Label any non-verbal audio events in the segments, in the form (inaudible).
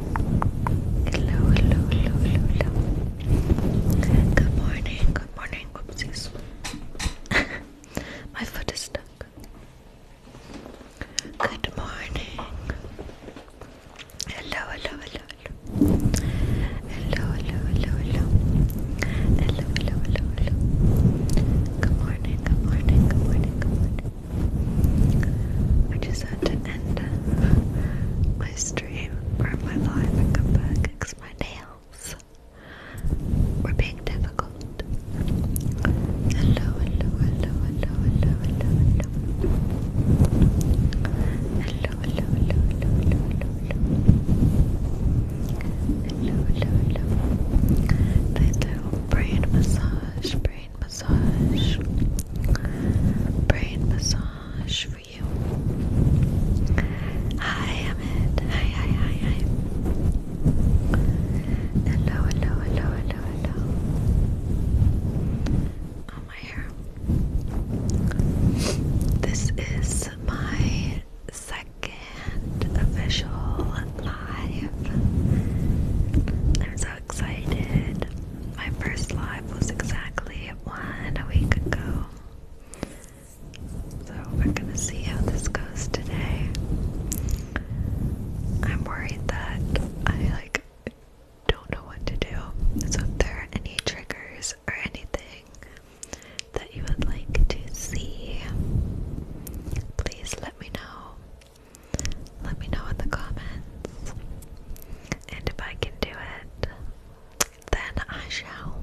Hello, hello, hello, hello, hello. Good morning, good morning. (laughs) My foot is stuck. Good morning. Hello, hello, hello, hello. Hello, hello, hello, hello. Hello, hello, hello, hello. Good morning, good morning, good morning, good morning. I just had to end my stream my life and come back fix my nails. We're being difficult. Hello, hello, hello, hello, hello, hello, hello. Hello, hello, hello, hello, hello, hello, hello. Hello, hello, hello. Nice little brain massage, brain massage, brain massage for you. Hi, Ahmed. Hi, hi, hi, hi. Hello, hello, hello, hello, hello. Oh, my hair. This is my second official live. I'm so excited. My first live was exactly one a week ago. So we're gonna see how this goes today. I'm worried that I like don't know what to do. So if there are any triggers or anything that you would like to see, please let me know. Let me know in the comments. And if I can do it, then I shall.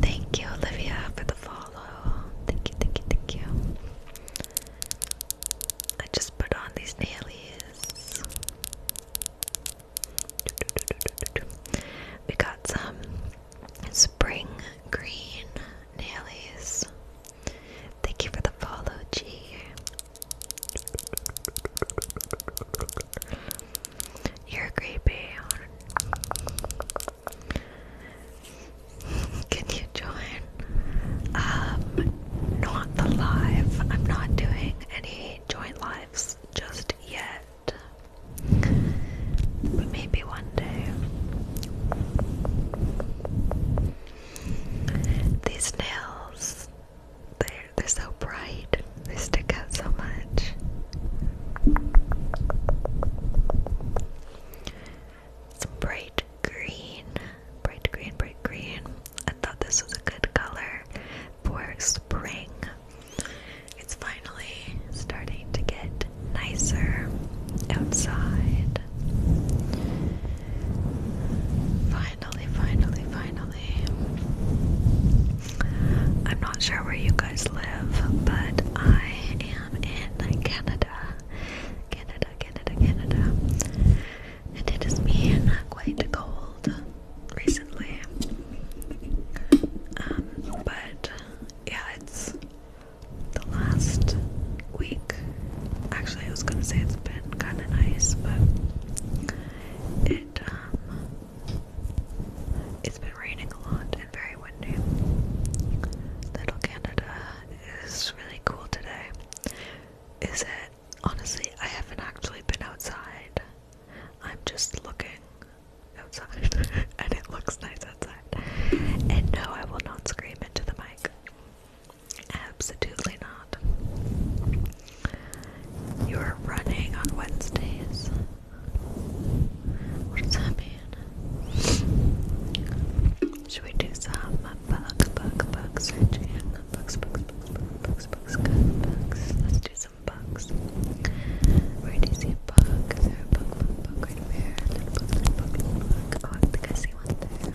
Thank you, Olivia, for the follow. Thank you, thank you, thank you. I just put on these nailies. We got some spring green nailies. Thank you for the follow, G. You're creepy. (laughs) Can you join? Um, not the live. I'm not doing any joint lives just yet. But maybe one day. These nails, they're, so bright, they stick out so much. Some bright green, bright green, bright green. I thought this was a good color for spring. It's finally starting to get nicer outside good. Finally, finally, finally. I'm not sure where you guys live, but I am in Canada. Canada, Canada, Canada. And it has been quite cold recently. Um, but yeah, it's the last week. Actually, I was gonna say it's been kind of nice, but it um, it's been raining a lot and very windy. Little Canada is really cool today. Is it? Honestly, I haven't actually been outside. I'm just looking outside, (laughs) and it looks nice outside. And no, I will not scream into the mic. Absolutely not. You're running on Wednesdays. What that mean? Should we do some bug, bug, bug searching? Bugs, bugs, bugs, bugs, bugs, bugs, bugs. Let's do some bugs. Where do you see a there a bug, bug, bug right Little bug, little bug, little Oh, I think I see one there.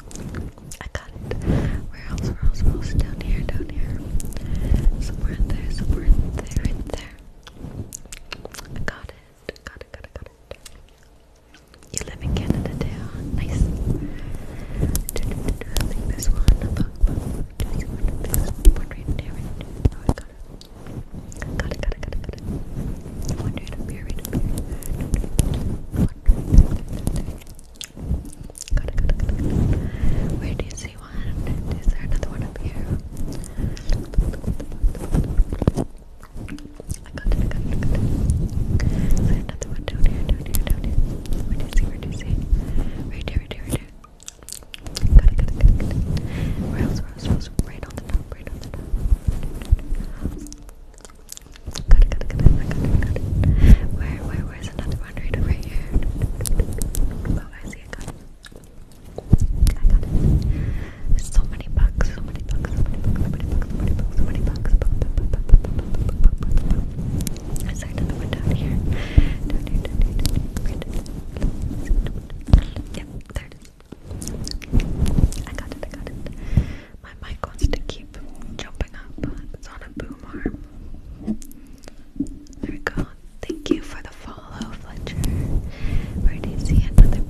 I got it. Where else? Where else? Where else? Down here, down here. Somewhere there, somewhere there, in there. I got it. Got it, got it, got it. You live in Canada, too. Nice. I think this one. One right there, oh, I got it. Got it, got it, got it, period. Where do you see one? Is there another one up here? another one down here, down here, down here? Where do you see, where do you see? Right here, right here, right here. Got it, got it, got it, Where else, where else, where else? Right on the top, right on the top. Got it, Where, where, where's another one right over here? Oh, I see, I got it. I got it. So many bugs, so many bugs, so many bugs, so many bugs, so many bugs, so many bugs. Is there another one down here? Down here, down here, Yep, there I got it, I got it. My mic wants to keep jumping up. It's on a boom arm. There we Thank you for the follow, Fletcher. Where do you see another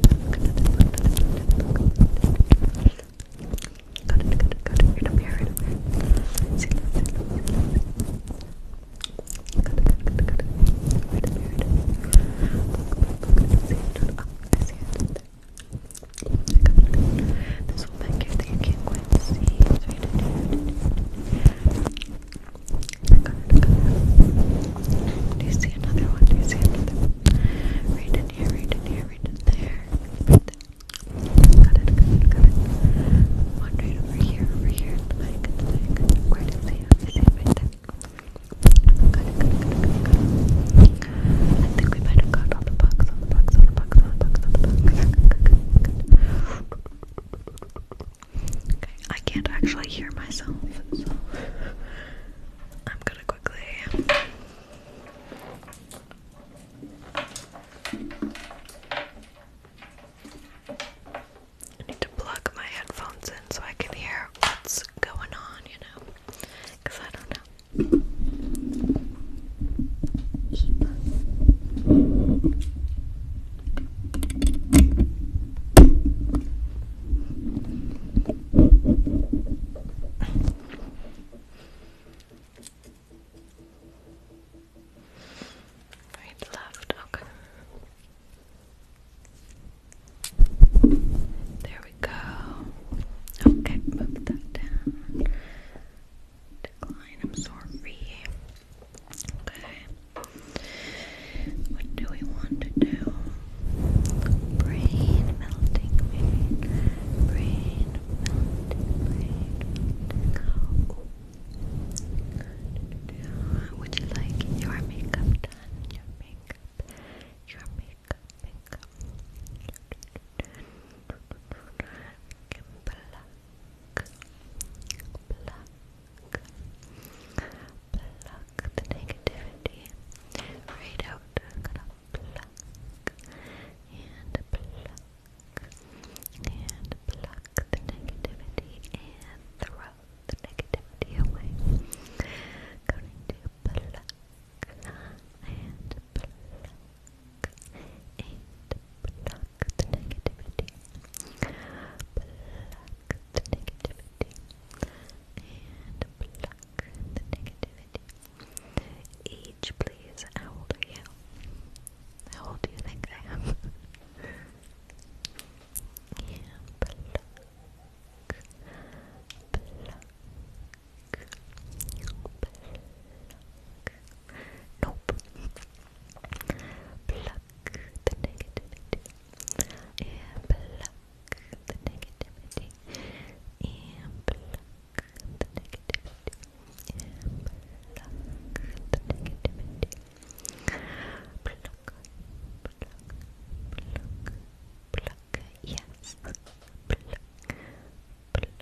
this one back here that you can't see. Do you see another one? Do you see another one? Right in here, right in here, right in there. Right there. Got it, got it, One right over here, over here, I think we might have got all the bugs, Okay, I can't actually hear myself, so I'm gonna quickly. I need to plug my headphones in so I can hear what's going on, you know? Because I don't know. Right, left, okay. There we go. Okay, move that down. Decline, I'm sorry. Okay. What do we want to do? Brain melting, brain, melting, Would you like your makeup done? pluck the negativity right out. I'm and pluck and pluck the negativity and throw the negativity away. Going to pluck and pluck the negativity pluck the negativity and pluck the negativity each please, how old are you? how old do you think I am? yeah, Nope. Pluck the negativity. And pluck the negativity. And pluck the negativity. And pluck the negativity. Pluck, pluck, pluck, pluck yes. Pluck, pluck, pluck, pluck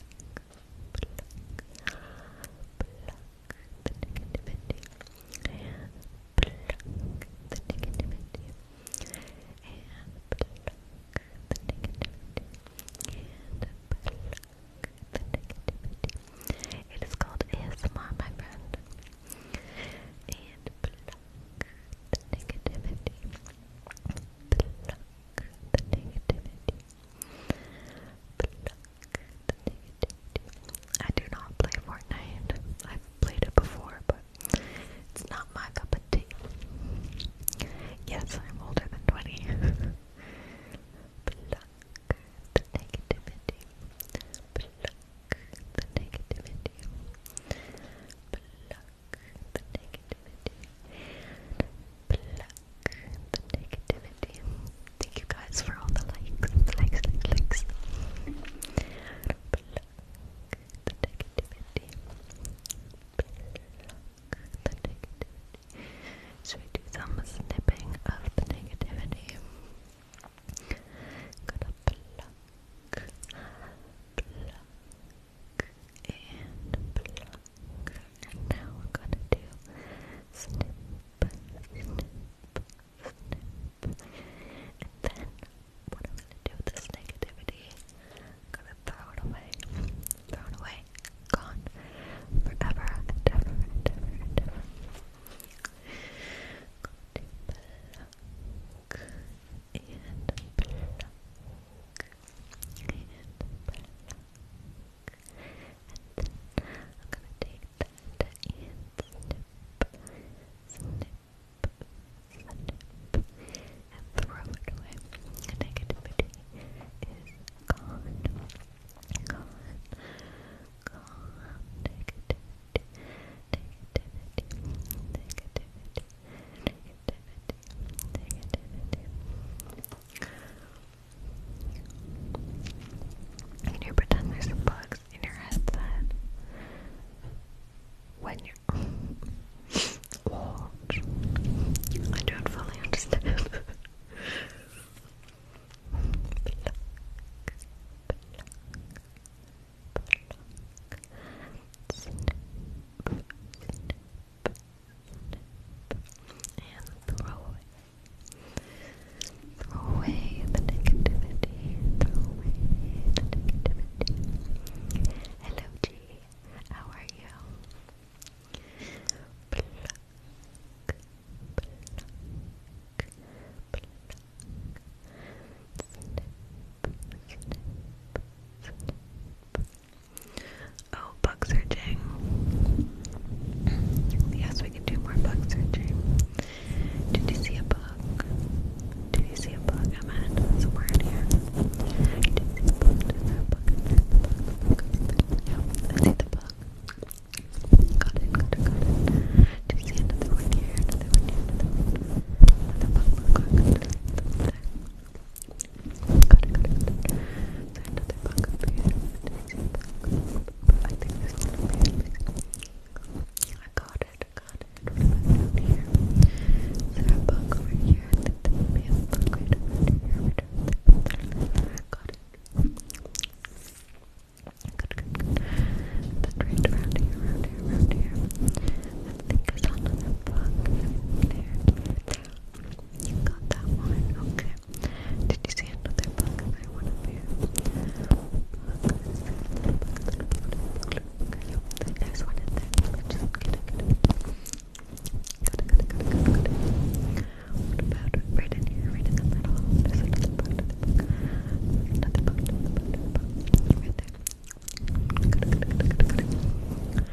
the negativity, pluck the negativity, and pluck the negativity, and pluck the negativity. It is called ASMR, my friend. And pluck the negativity. I do not play Fortnite. I've played it before, but it's not my cup of tea. Yes, I'm older than 20. (laughs) the negativity, pluck the negativity. Thank you guys for all the likes, likes, likes, likes. Pluck the negativity, pluck the negativity. Should we do some snipping of the negativity? Gonna pluck, pluck, pluck, and now we're gonna do then what i gonna do with this negativity, gonna throw it away. Throw away. Gone. Forever and ever and ever and then I'm gonna take that and snip, snip, snip, and throw it away. Negativity is gone, gone, gone. Negativity, negativity, negativity, negativity. Can you pretend there's bugs in your headset? When you (laughs) watch, I don't fully understand. (laughs) and throw away. Throw away the negativity. Throw away the negativity. Hello, G. How are you? Oh, bug searching. Yes, we can do more bug searching. Did you see a bug? Did you see a bug? I'm at somewhere in here. Did you see a bug? a bug in there? The I see the bug. Got it, got it, got it. Do you see another one here? Another one here, another bug, bug, bug. bug another bug up here. I think this one will I got it, got it. What here? Is there a bug over here? I think there will be a bug Got it. Good, good, around here, around here, around here. I think I another bug in there got that one, okay. Did you see another book I want to view? there's one in there. just get it, get it. Good, good, good, good, right in here, right in the middle? another book, another book. Right there.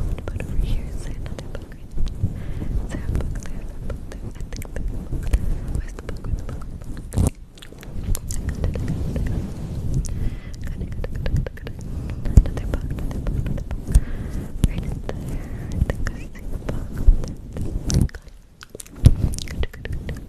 What about over here? Is there another book? Is there a book there? Is there a book there? I think there's a book there. Where's the book? Where's the book? Where's the book? Another book, another book, another book. Right in there. I think I see the book. Good, good, good.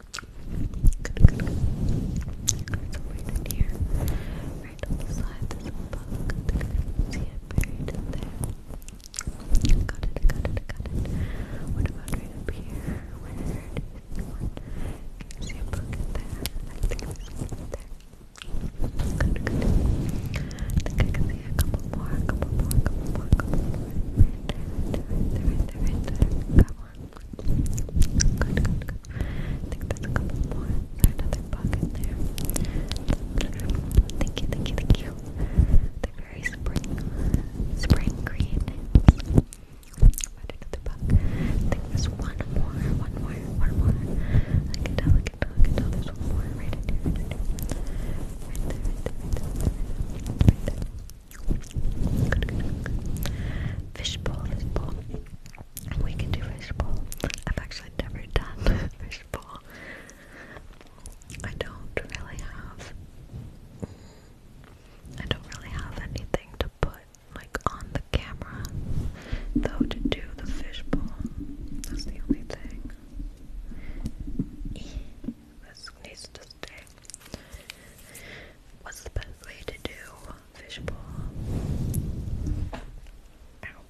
Good, good, good. right in here, right on the side, there's a bug. there. Got it, got it, got it. What about right up here? Where is one? you see a bug there? I think there's one there. Good, good. I think I can see a couple more, a couple more, I think there's a couple more. There's another pocket there. Thank you, thank you, thank you. they very spring, spring green. Add another pocket. I think there's one more, one more, one more. I can tell, I can tell, I can tell. There's one more right in here, right there, right there. Right there. Good, good, good. Fishbowl, fishbowl. We can do fishbowl. I've actually never done (laughs) fishbowl. I don't really have. I don't really have anything to put like on the camera, though to do the fishbowl. That's the only thing. This needs to stay. What's the best way to do fishbowl. Ow.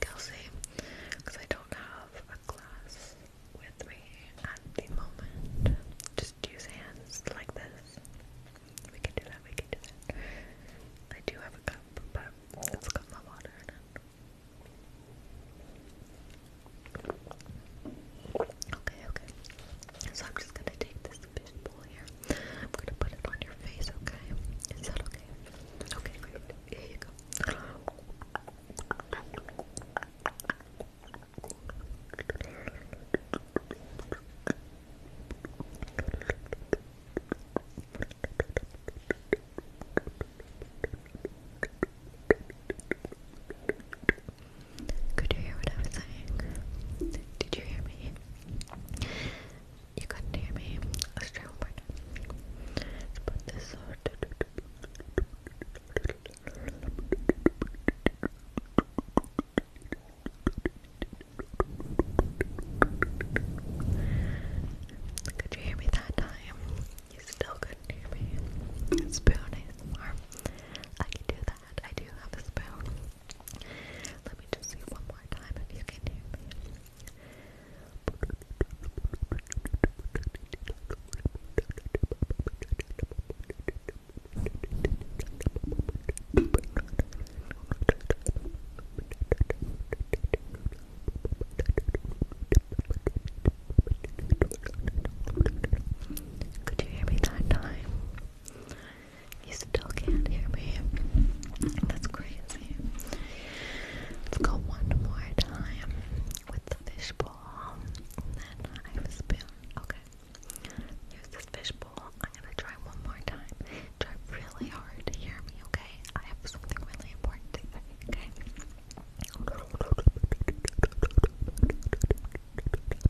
Kelsey, because I don't have a glass with me at the moment. Just use hands like this. We can do that, we can do that. I do have a cup, but it's got my water in it. Okay, okay. So I'm just gonna take this fishbowl here. I'm gonna put it on your face, okay? Is that okay? Okay, could you hear what I was saying? Did you hear me? You couldn't hear me. Let's try one more Could you hear me that time? You still couldn't hear me. Spoon I can do that. I do have a spoon. Let me just see one more time if you can hear me. Could you hear me that time? You still can't hear me. That's crazy. Let's go one more time with the fishbowl. then I have a spoon. Okay. Here's this fishbowl. I'm gonna try one more time. Try really hard to hear me, okay? I have something really important okay?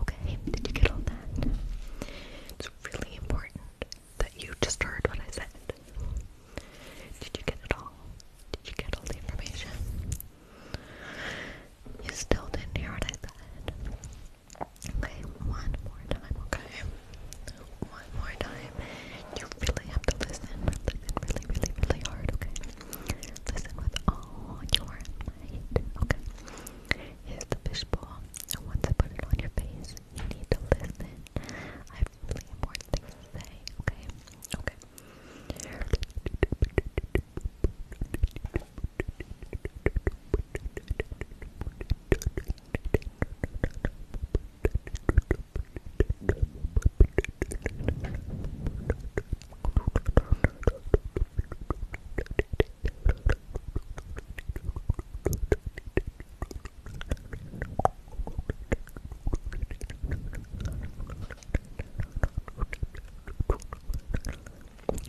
Okay, did you get all that? It's really important that you just heard what I said. Did you get it all? Did you get all the information? You still didn't hear what I said. Okay, one more time, okay? One more time. You really have to listen, listen really, really, really hard, okay? Listen with all your might, okay? Here's the fishbowl. Once I put it on your face, you need to listen. I have really important things to say, okay? Okay.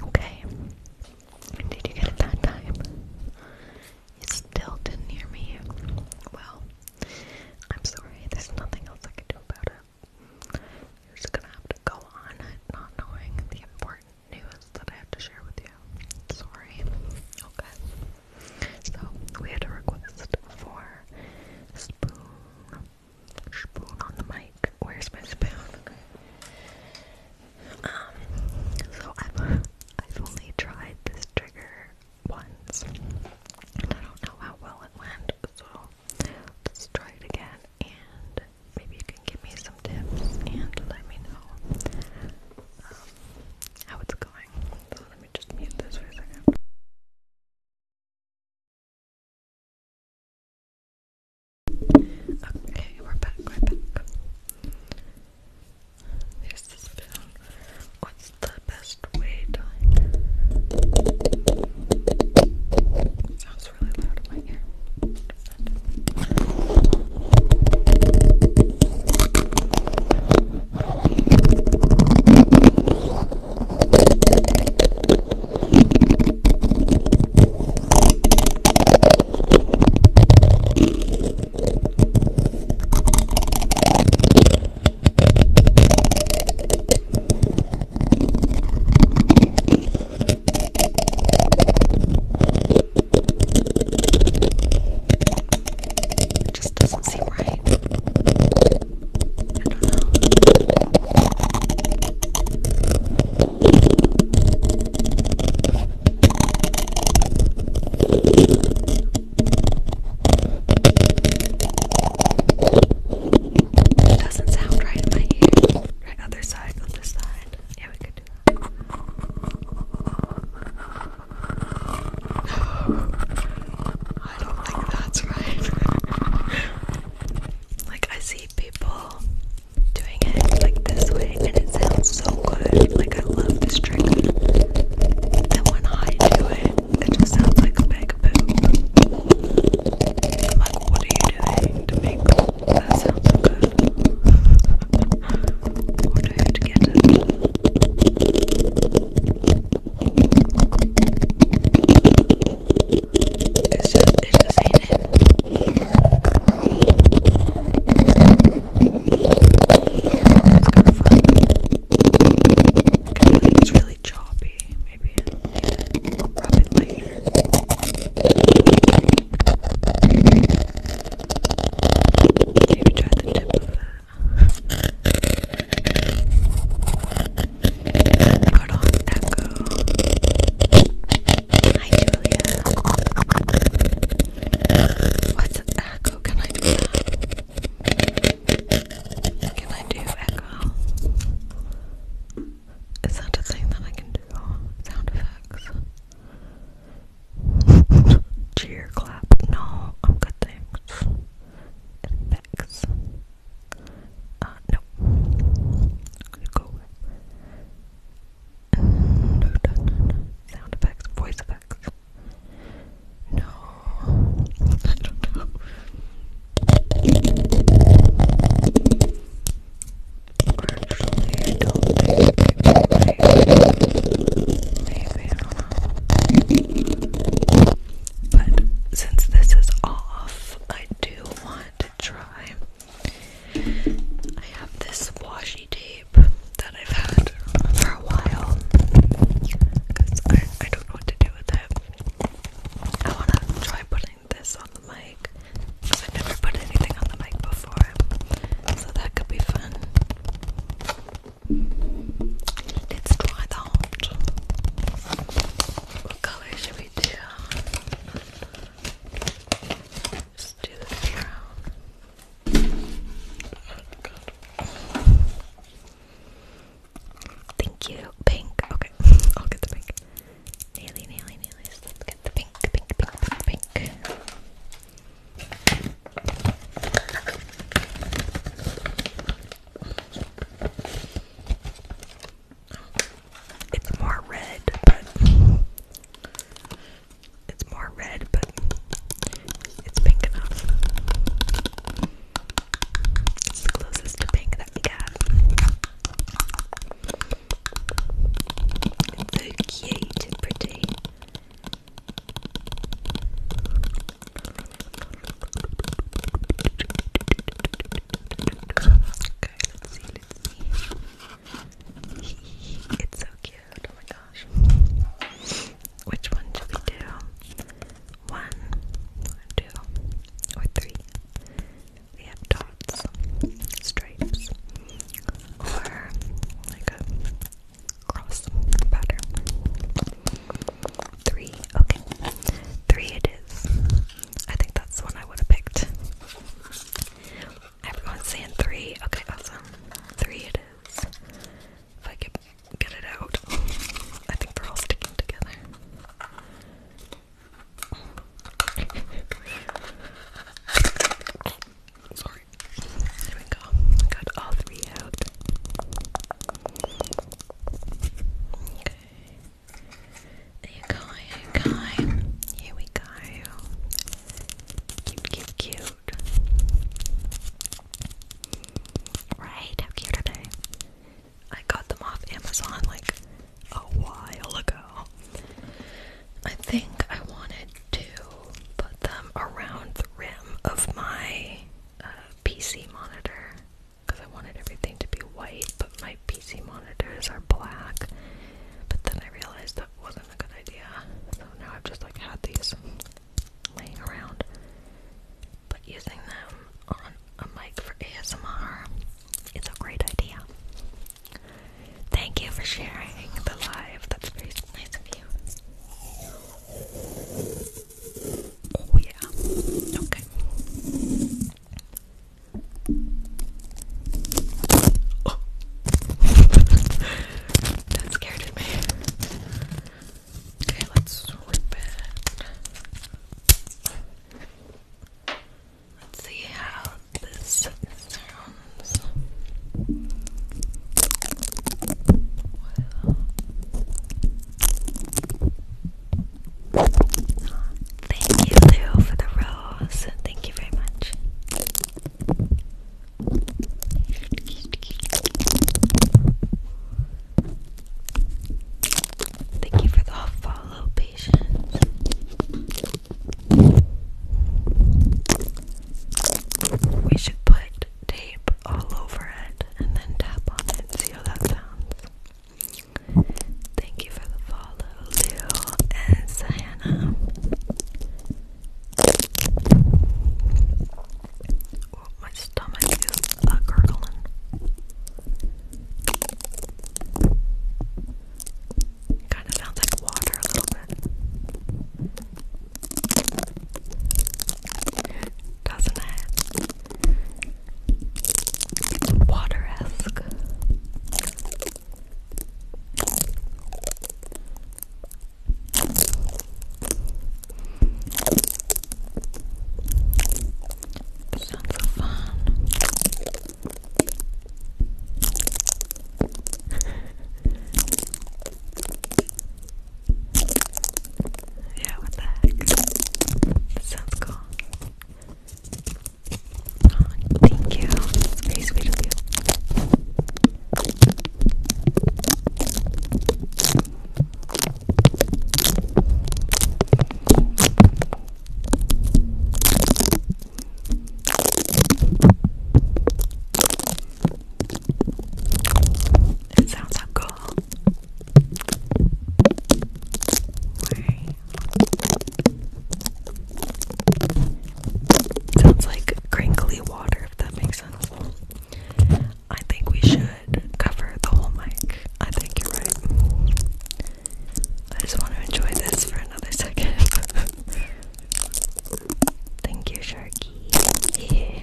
Okay. Did you get it that time? You still didn't hear me. Well, I'm sorry. There's nothing else I can do about it. You're just gonna go on not knowing the important news that I have to share with you. Sorry. Okay. So we had a request for spoon. Spoon on the mic. Where's my spoon? Um. So I've I've only tried this trigger once, and I don't know how well it went. So let's try it again and maybe you can give me some tips and let me know um, how it's going. So let me just mute this for a second. Okay, we're back, we back. There's the spoon. What's the best way to was really loud in my ear. It just doesn't seem right. doesn't sound right in my ear. Right other side, other side. Yeah, we could (sighs) I don't think that's right. (laughs) like, I see people doing it like this way, and it sounds so good. Like, I love this trick. Then when I do it, it just sounds like a big like, what are you doing to make that sounds good. I wonder who'd get it. It's just, it just ain't it. It's really choppy. Maybe Maybe try the tip of that. Put on echo. Hi, Julia. What's echo? Can I do that? Can I do echo? Is that a thing that I can do? Sound effects. Cheer clap. No, I'm good, thanks. Effects. Uh, no. go No, no, Sound effects, voice effects. No. I don't know. But since this is off, I do want to try. I have this washi tape that I've had for a while because I don't know what to do with it. I want to try putting this on the mic because I've never put anything on the mic before, so that could be fun. Let's try that. What color should we do? Let's do the Thank you, pink. Okay, (laughs) I'll get the pink. Naily, naily, nailies. Let's get the pink, pink, pink, pink, pink. It's more red, but it's more red, but it's pink enough. It's the closest to pink that we got. So cute pretty. Okay, let's see, let's see. (laughs) It's so cute, oh my gosh. Which one should we do? One, two, or three? they have dots, stripes, or like a cross pattern. Three, okay. Three it is. I think that's the one I would have picked. Everyone's saying three. Okay, awesome. Three it is. If I could get it out. I think they're all sticking together. (laughs) Sorry. There we go. Got all three out. Okay. you go, there you go. Here we go. Cute, cute, cute. Right, how cute I got them off Amazon like a while ago. I think I wanted to put them around the rim of my uh, PC monitor because I wanted everything to be white, but my PC monitors are black. But then I realized that wasn't a good idea, so now I've just like had these laying around. But using them on a mic for ASMR is a great idea. Thank you for sharing the live. That's very nice of you. Oh, yeah. Okay. (laughs) that scared me. Okay, let's rip it. Let's see how this sounds. Thank you, Leo, for the rose. Thank you very much. Thank you for the follow, patience. We should put tape all over it and then tap on it. See how that sounds. Thank you for the follow, Lou and Sienna. my stomach is uh, gurgling. Kind of sounds like water a little bit. Doesn't it? Water esque. Sounds so fun. (laughs) yeah, what the heck? sounds cool. thank you. It's very sweet of you. It sounds so cool. Sounds like crinkly water, if that makes sense. I think we should cover the whole mic. I think you're right. I just want to enjoy this for another second. (laughs) Thank you, Sharky. Yeah.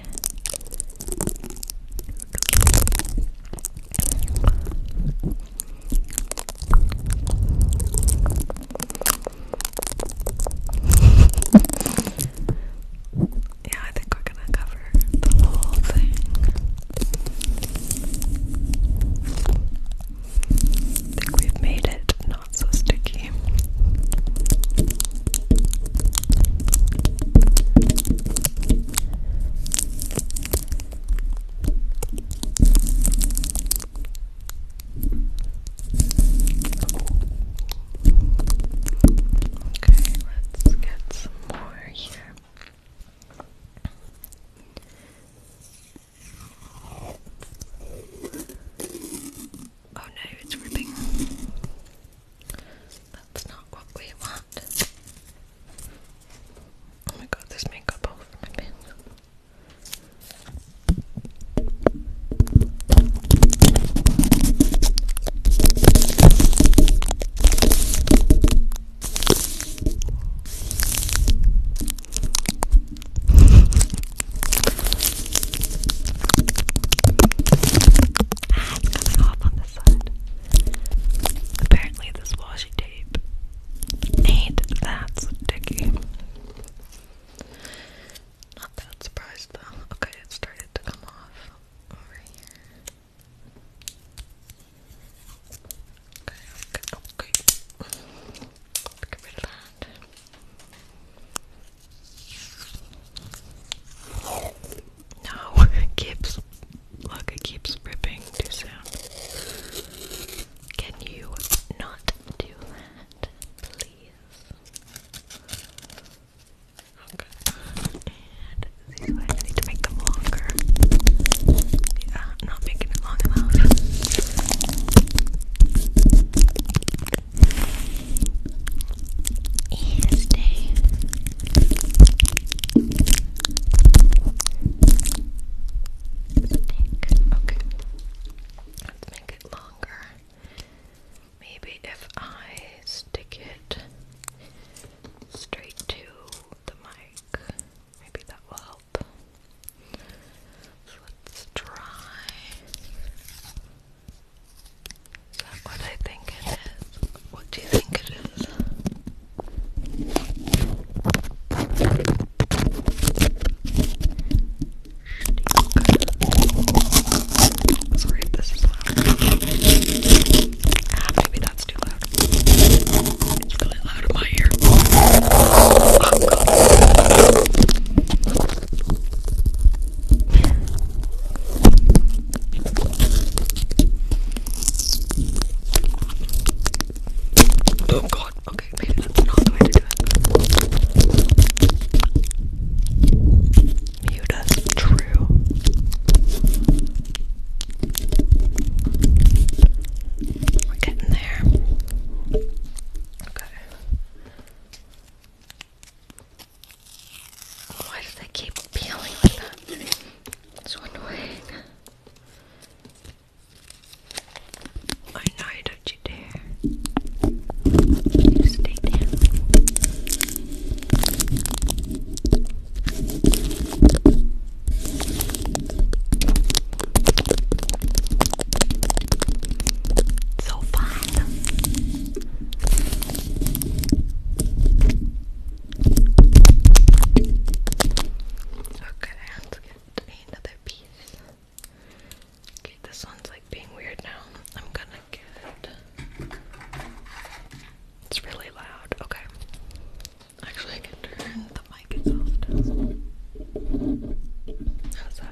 I think we're gonna cover the whole thing. I think we've made it not so sticky. Okay, let's get some more here. Oh no, it's ripping. That's not what we want. Oh my god, there's makeup all over my pants ah, it's coming off on this side. Apparently, this washi tape ain't that sticky. Not that surprised though. Okay, it started to come off over here. Okay, okay, okay. Get that. No, (laughs) keeps look, it keeps ripping too soon. Can you not do that, please? Okay. And these ones I need to make them longer. Yeah, not making it long enough. Is day. Okay. Let's make it longer. Maybe if I stick it straight to the mic, maybe that will help. Let's try. Is that what I think it is? What do you think it is? Sorry if this is loud. Ah, maybe that's too loud. It's really loud in my ear. Oh, Oh god, okay, maybe that's not the way to do it. Muta, true. We're getting there. Okay. Why do they keep peeling like that? It's so annoying. I know, don't you dare. stay down. So fun. Okay, let's get another piece. Okay, this one's like being weird now. I'm gonna get. It's really loud. Okay. Actually, I can turn the mic itself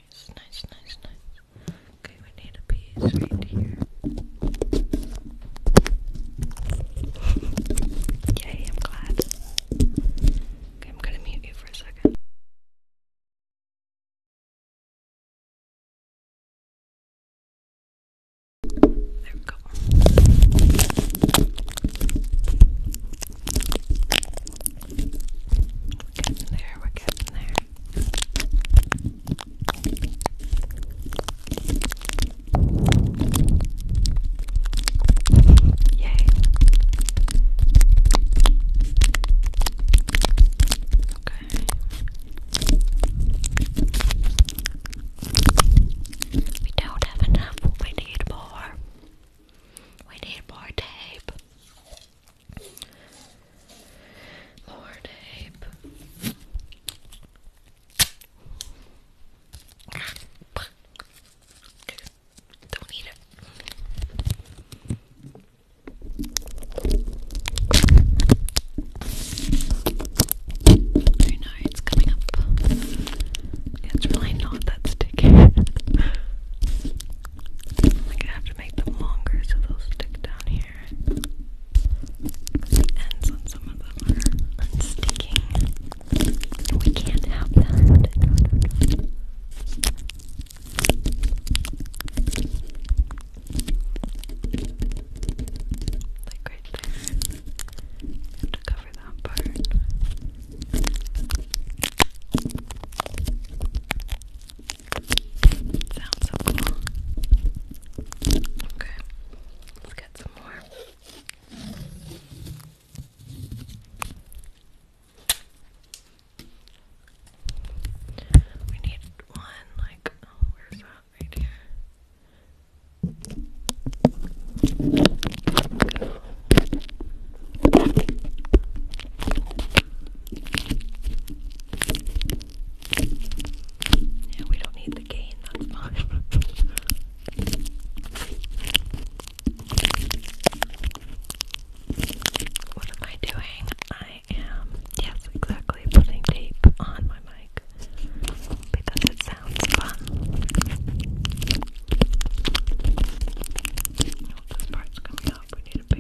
nice, nice, nice, nice. Okay, we need a piece right here. Yay, I'm glad. Okay, I'm gonna mute you for a second. There we go. We're getting there, we're getting there. Yay. Okay. We don't have enough. We need more. We need more tape. Lord tape. Don't eat it. I know it's coming up. It's really not that sticky. (laughs) like I have to make them longer so they'll stick down here here. The ends on some of them are unsticking. We can't have that. Like right to cover that part. Sounds so cool. Okay, let's get some more. We need one, like, oh, where's that? Right yeah, we don't need the gain, that's fine. (laughs) what am I doing? I am, yes, exactly, putting tape on my mic because it sounds fun. this part's coming up. We need a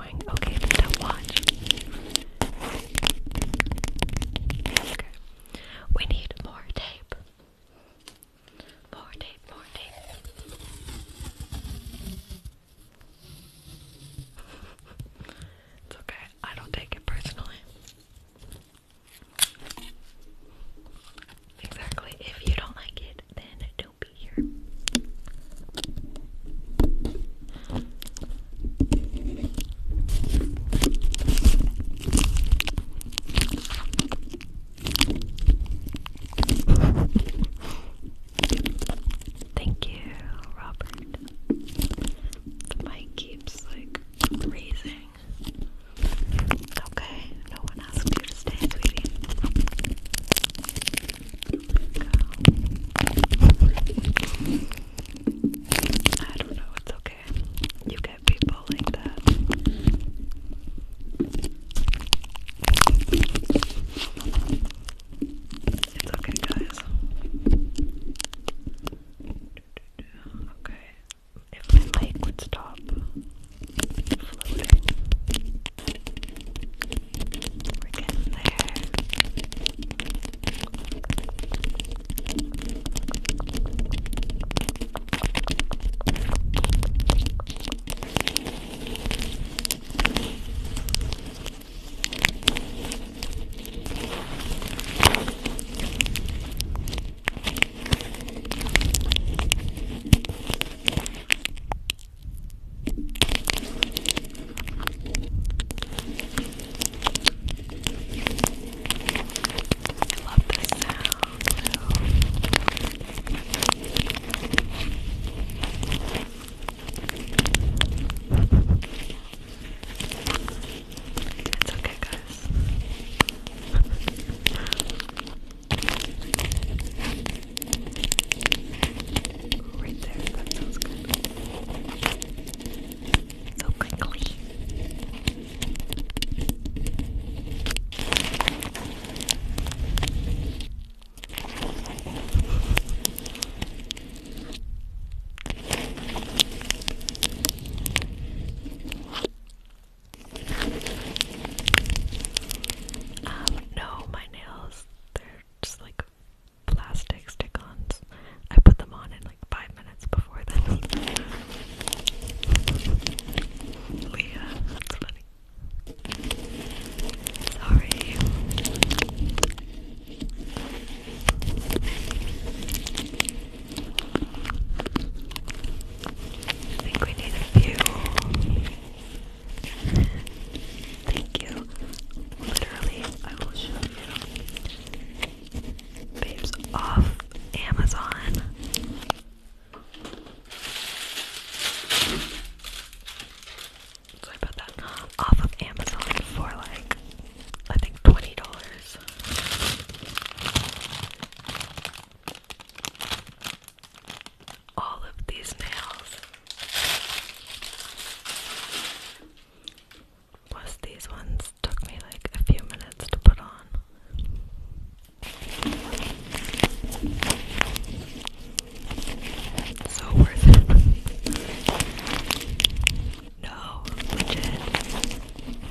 Okay, watch. We need more tape. More tape, more tape. okay, I don't take it personally. Exactly. If you don't like it, then don't be Thank you, Robert. The mic keeps like raising. Okay, no one asked you to stay, sweetie. I don't know, it's okay. You get people like that. It's okay, guys. Okay, if my mic would stop we're getting there. Love this sound. It's okay, guys. (laughs) Right there, that sounds good so quickly. Um, no, my nails, they're just like plastic stick-ons. I put them on in like five minutes before this. (laughs) Leah, oh, that's funny. Sorry. I think we need a few. Thank you. Literally, I will show you. Babes off Amazon. Sorry about that. Off of Amazon for like, I think $20. All of these nails was these ones took me like a few minutes to put on. So worth it. No, legit.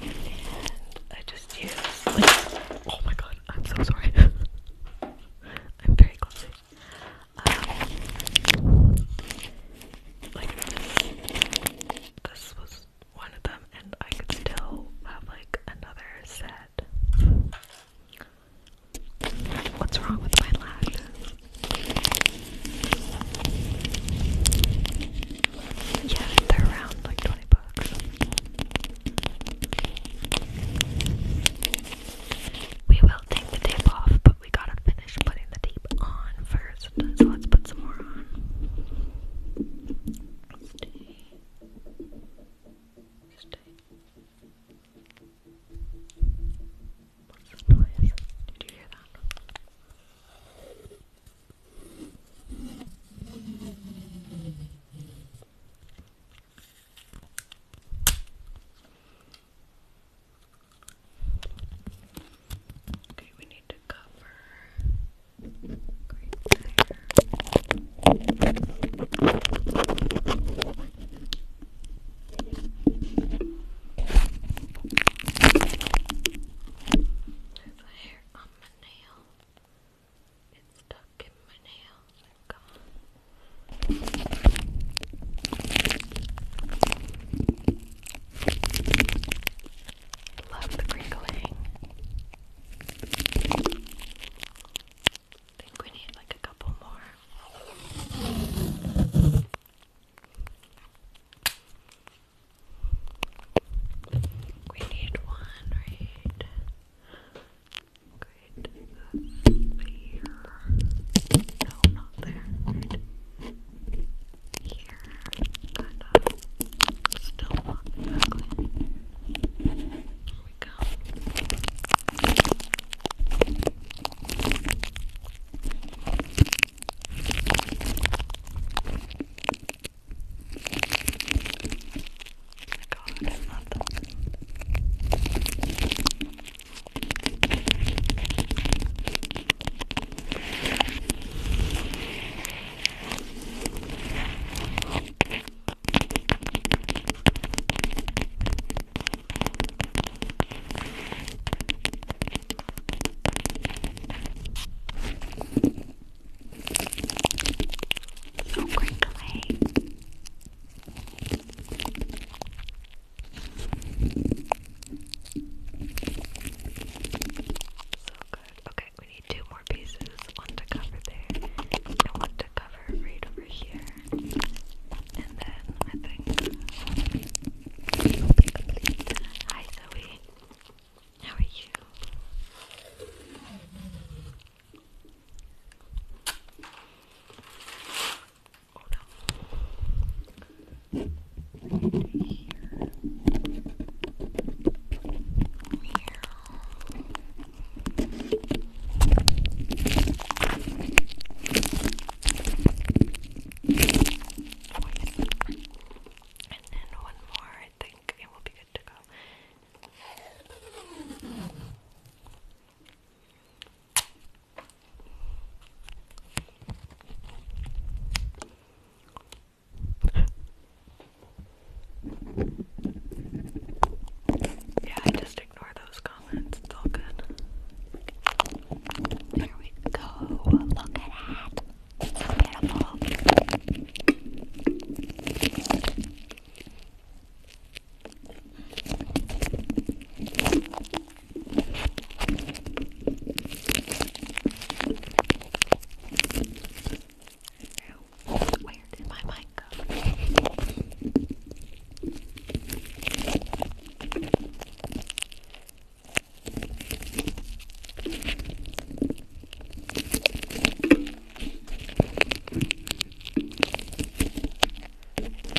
And I just used oh my god, I'm so sorry. (laughs) I'm very clumsy. Um, like this was one of them, and I could still have like another set. What's wrong with my lashes? Yeah, they're around like 20 bucks. We will take the tape off, we gotta finish putting the tape on first. So let's put some more on. Stay. Stay. What's this noise? Did you hear that? Okay, we need to cover There's a hair on my nail. It's stuck in my nail. They're oh Love the crinkling. think we need like a couple more. We need one right, right here. No, bothered. Here, kind of still not exactly. we go. Oh my god, I love them. So quickly. So good. Okay, we need two more pieces. One to cover there, and one to cover right over here. And then I think Hi, Zoe. How are you? Oh no. Here. And then one more, I think it will be good to go. Yeah, I just ignore those comments. It's all good. There we go. Look at that. So beautiful. Now, where did my mic go? (laughs)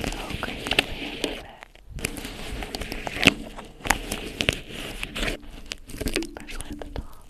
Okay, oh, Especially at the top. I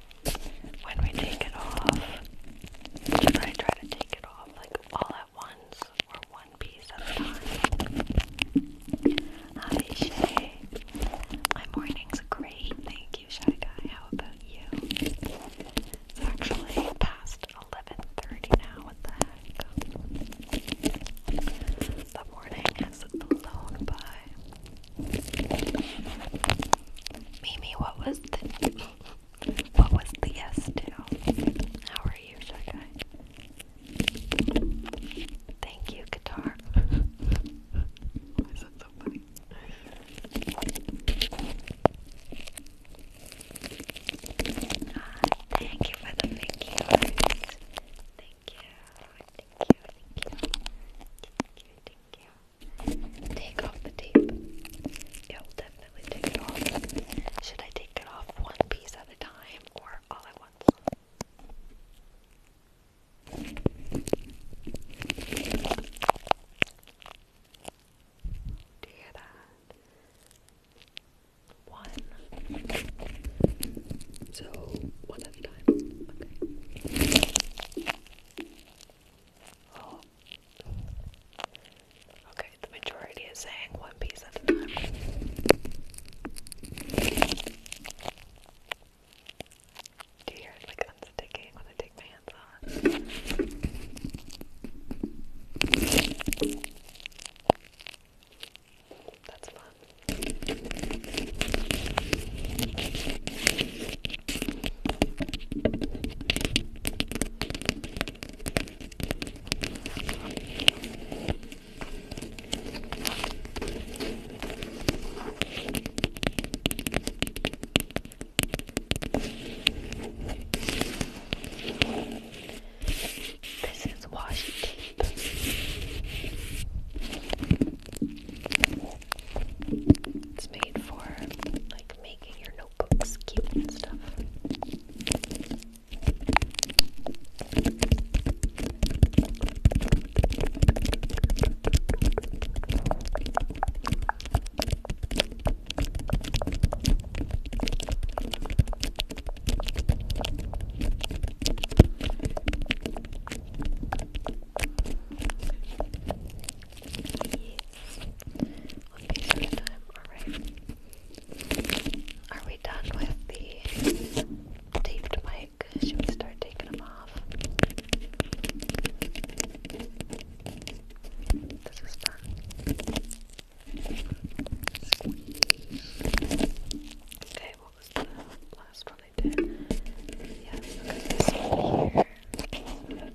when we take it off, but I try to take it off like all at once or one piece at a time. Hi Shay, my morning's great, thank you Shy Guy, how about you? It's actually past 11.30 now, what the heck? The morning has blown by. Mimi, what was the what was the yes to? How are you, Sharkai? Thank you, guitar. Why so funny? Ah, thank you for the thank Thank you. Thank you. Thank you. Thank you. Thank you take off the tape. Yeah, will definitely take it off. Should I take it off one piece at a time or all at once? Do you hear that? One. So, one at a time. Okay. Oh, Okay, the majority is saying one piece at a time. Do you hear it like unsticking when I take my hands off? That's fun. This is washi tape. It's made for like making your notebooks cute and stuff. We'll be Alright. Are we done with the taped mic? Should we start taking them off? This is fun. Okay, what was the last one I did? Yes,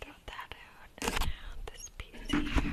Throw that out and now this piece here.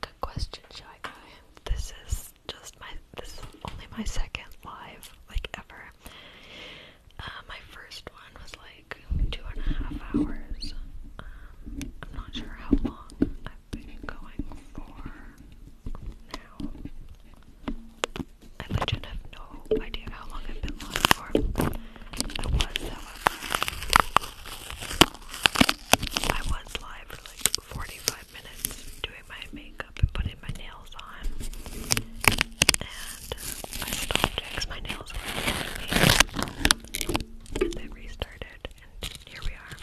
good question, shy guy. This is just my this is only my second live like ever. Uh, my first one was like two and a half hours. Um, I'm not sure how long I've been going for now. I legit have no idea how long I've been live for. I was, however, I was live for like 45 minutes doing my makeup and putting my nails on. And uh, I stopped because my nails they restarted here we are.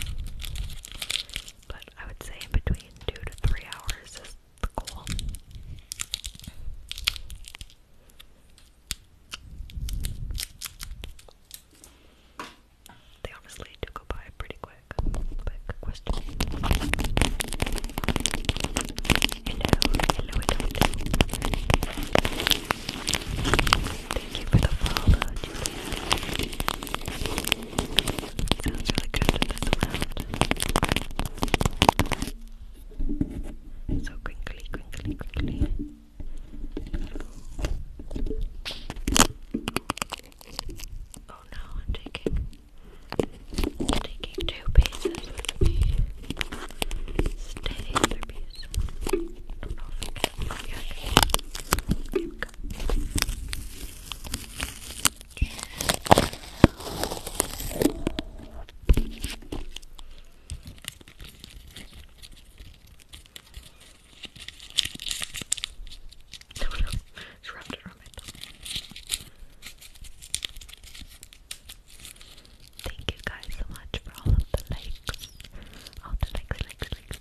But I would say in between two to three hours is the goal. They honestly do go by pretty quick. Quick question. hello, hello. Thank you for the follow, Sounds really good to this amount. So quickly, quickly, quickly. Oh no, I'm taking taking two pieces Stay the piece it's (laughs) wrapped around my Thank you guys so much for all of the likes,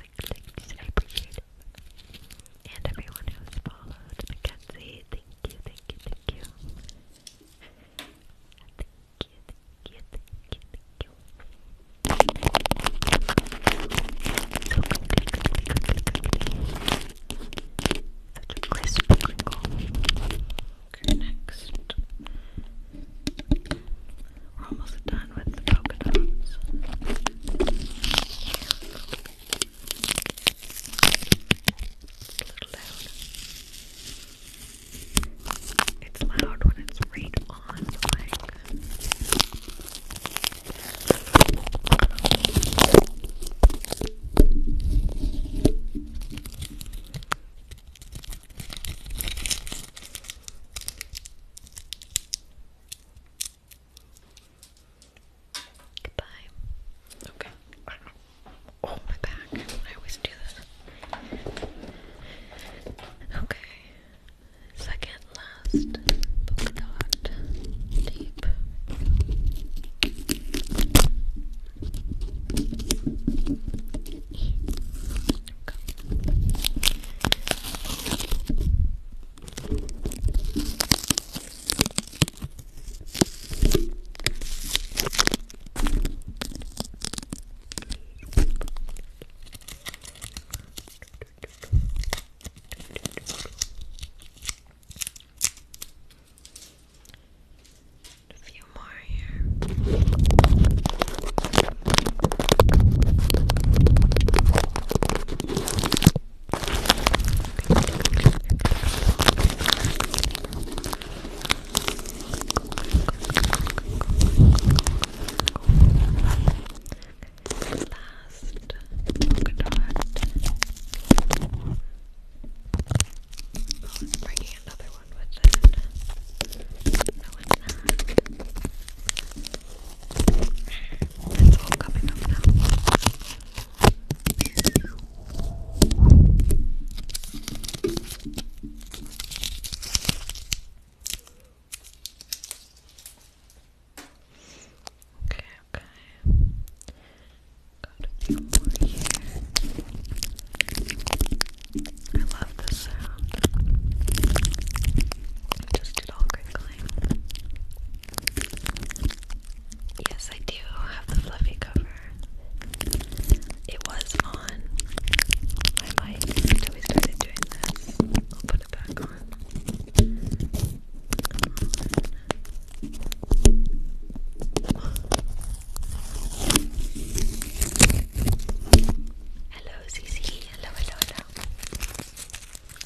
I appreciate And everyone who's followed, Mackenzie, thank you, thank you, thank you. Thank you, thank you, thank you, thank you. Okay, next. We're almost done with the polka dots. It's loud. when it's right on Goodbye. Okay. Oh, my back. I always do this. Okay. Second last polka a few more here. Oh, I'm bringing another one with it. No, it's not. It's all coming up now. Okay, okay. Got a few more here. I love this sound. Just it all crinkles. Yes, I do have the fluffy cover. It was on my mic until we started doing this. I'll put it back on. Hello, Zizi. Hello, hello, hello. Oh, I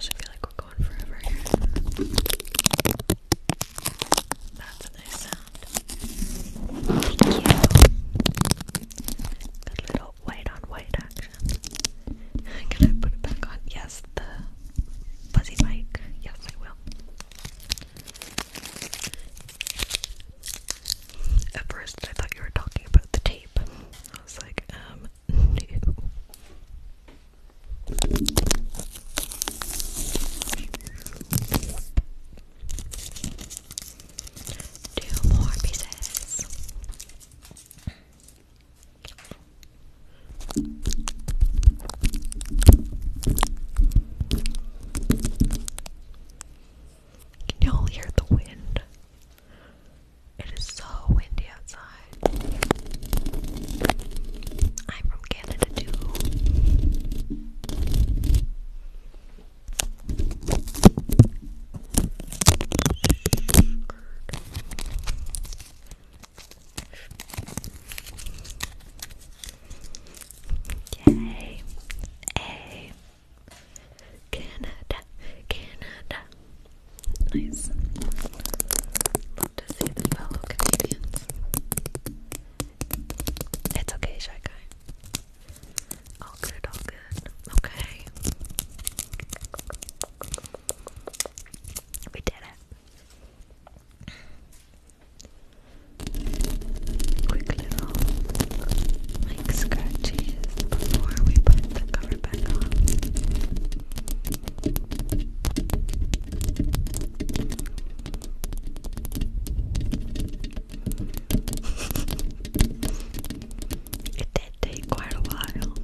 feel like we're going forever That's a nice sound. Thank you. Got little white on white action. (laughs) Can I put it back on? Yes, the fuzzy mic. Yes, I will. At first, I thought you were talking about the tape. I was like, um, Two more pieces. Can y'all hear the wind? It is so windy outside. I'm from Canada too. A. Canada. Canada. Nice. Love to see the fellow Canadians. It's okay, shy guy. All good, all good. Okay. We did it. Quick little like scratches before we put the cover back on. (laughs) it did take quite a while.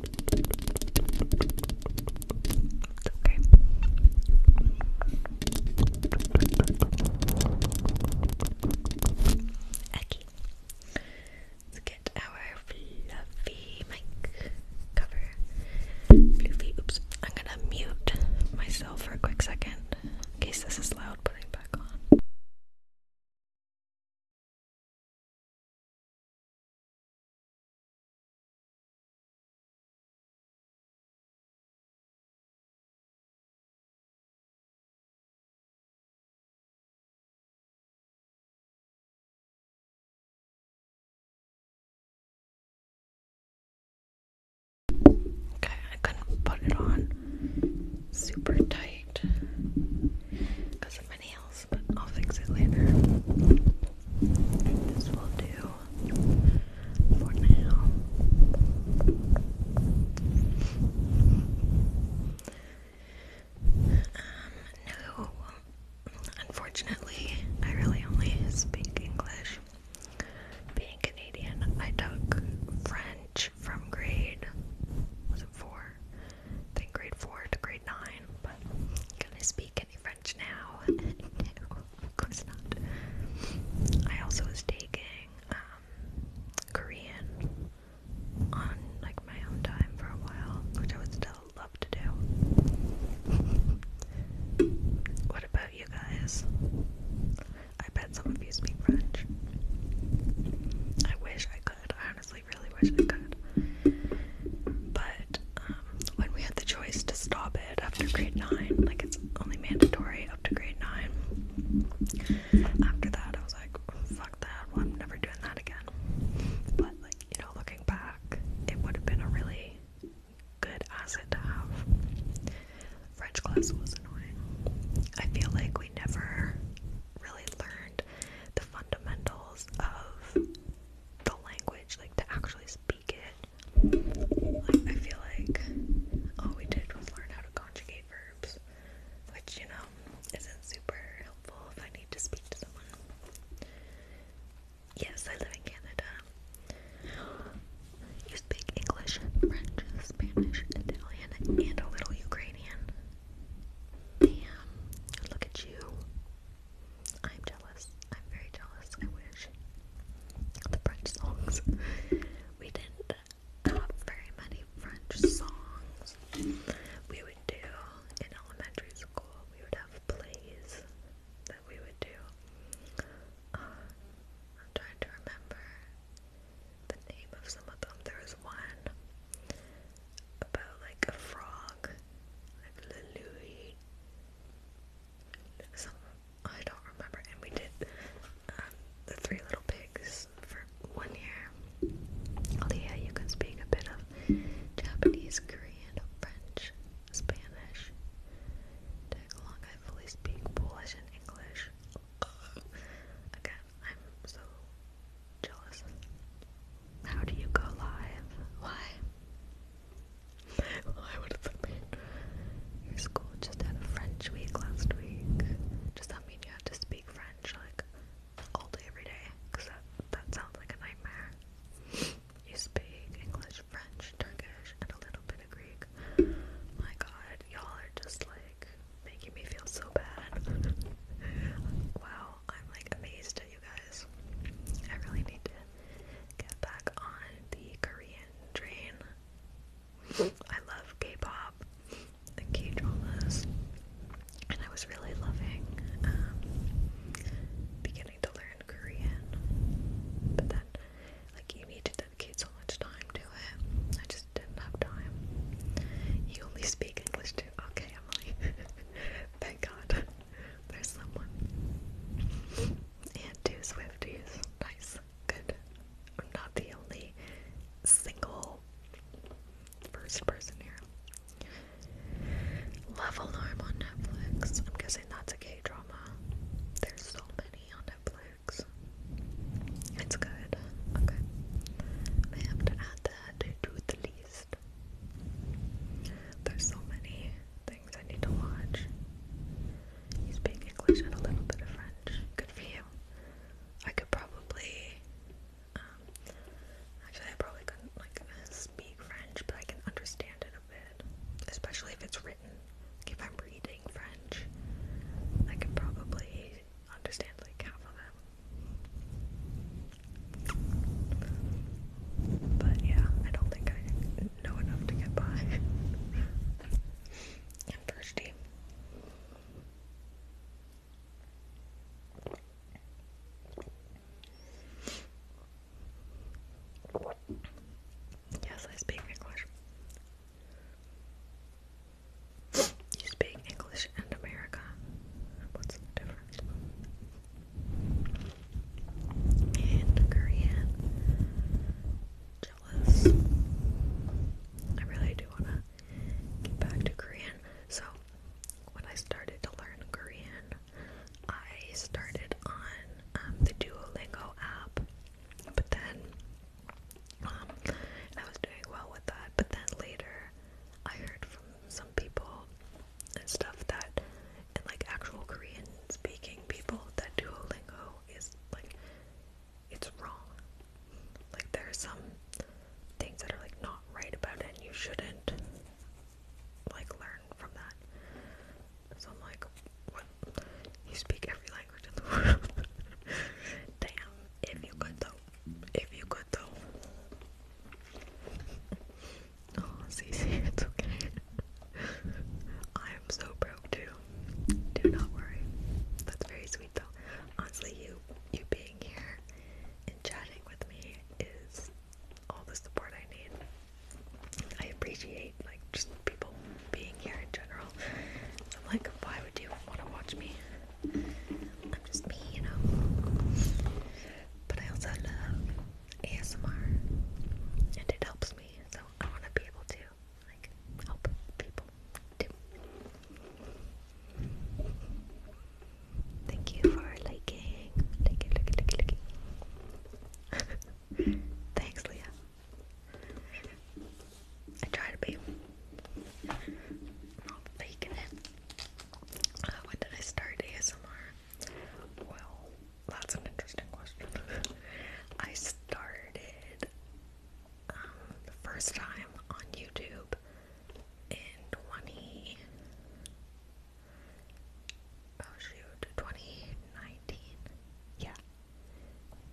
(laughs) Okay. Let's get our fluffy mic cover. Fluffy. Oops. I'm gonna mute myself for a quick second in case this is loud. Putting back on. Okay, I couldn't put it on super tight because um, unfortunately, I really only speak English. Being Canadian, I took French from grade was it four? I think grade four to grade nine fine, but can I speak any French now? (laughs) of course not. I also was taking um, Korean on like my own time for a while, which I would still love to do. (laughs) what about you guys? I bet some of you speak French. I wish I could. I honestly really wish I could. But um, when we had the choice to stop it after grade 9, like it's only mandatory up to grade 9, after that I was like, fuck that, well, I'm never doing that again. But, like, you know, looking back, it would have been a really good asset to have. French class was annoying. I feel like we never really learned the fundamentals of the language, like to actually speak it. I feel like all we did was learn how to conjugate verbs, which, you know, isn't super helpful if I need to speak to someone. Yes, I live in Canada. You speak English, French, Spanish, Italian, and a little Ukrainian. Damn, look at you. I'm jealous. I'm very jealous. I wish the French songs. We didn't have very many French songs. We would do in elementary school. We would have plays that we would do. Uh, I'm trying to remember the name of some of them. There was one about like a frog, like Le Louis. So I don't remember. And we did um, the Three Little Pigs for one year. Leah, oh, you can speak a bit of Japanese, Korean, French, Spanish. Tag I fully speak Polish and English. Again, I'm so jealous. How do you go live? Why? Why would that mean? Your school just had a French week last week. Does that mean you have to speak French like all day every day? Because that, that sounds like a nightmare. You speak English, French, Turkish, and a little bit of Greek. My god, y'all are just like making me feel so bad. wow, I'm like amazed at you guys. I really need to get back on the Korean train. I love K-pop and K-dramas, and I was really loving um, beginning to learn Korean, but then like you need to dedicate so much time to it. I just didn't have time. You only speak English too. Okay, Emily. (laughs) Thank God. There's someone. And two Swifties. Nice. Good. I'm not the only single first person here. Love Alarm on Netflix. I'm guessing that's a drama. There's so many on Netflix. It's good. Okay. I have to add that to the list. There's so many. I need to watch. You speak English and a little bit of French. Good for you. I could probably, um, actually, I probably couldn't like speak French, but I can understand it a bit, especially if it's written. if I'm reading French, I can probably understand like half of it. But yeah, I don't think I know enough to get by. (laughs) i Yes, I speak English. You speak English and America. What's the difference? and Korean. Jealous. I really do want to get back to Korean. So, when I started to learn Korean, I started on um, the Duolingo app, but then um, I was doing well with that. But then later, I heard from some people and stuff that, and like actual Korean speaking people, that Duolingo is like, it's wrong. Like, there are some things that are like not right about it, and you shouldn't like learn from that. So I'm like, what? You speak every language in the (laughs) world. Damn, if you could though. If you could though. Oh, Cece, (laughs) it's okay. I am so broke too. Do not worry. That's very sweet though. Honestly, you you being here and chatting with me is all the support I need. I appreciate like just people being here in general. I'm like, why would you want to watch me? I'm just me, you know. But I also love ASMR, and it helps me, so I want to be able to like help people Thank you for liking, liking, liking, liking, liking. (laughs) Thanks, Leah. I try to be. I'm not it. Uh, when did I start ASMR? Well, that's an interesting question. (laughs) I started um, the first time on YouTube in 20. shoot, 2019. Yeah.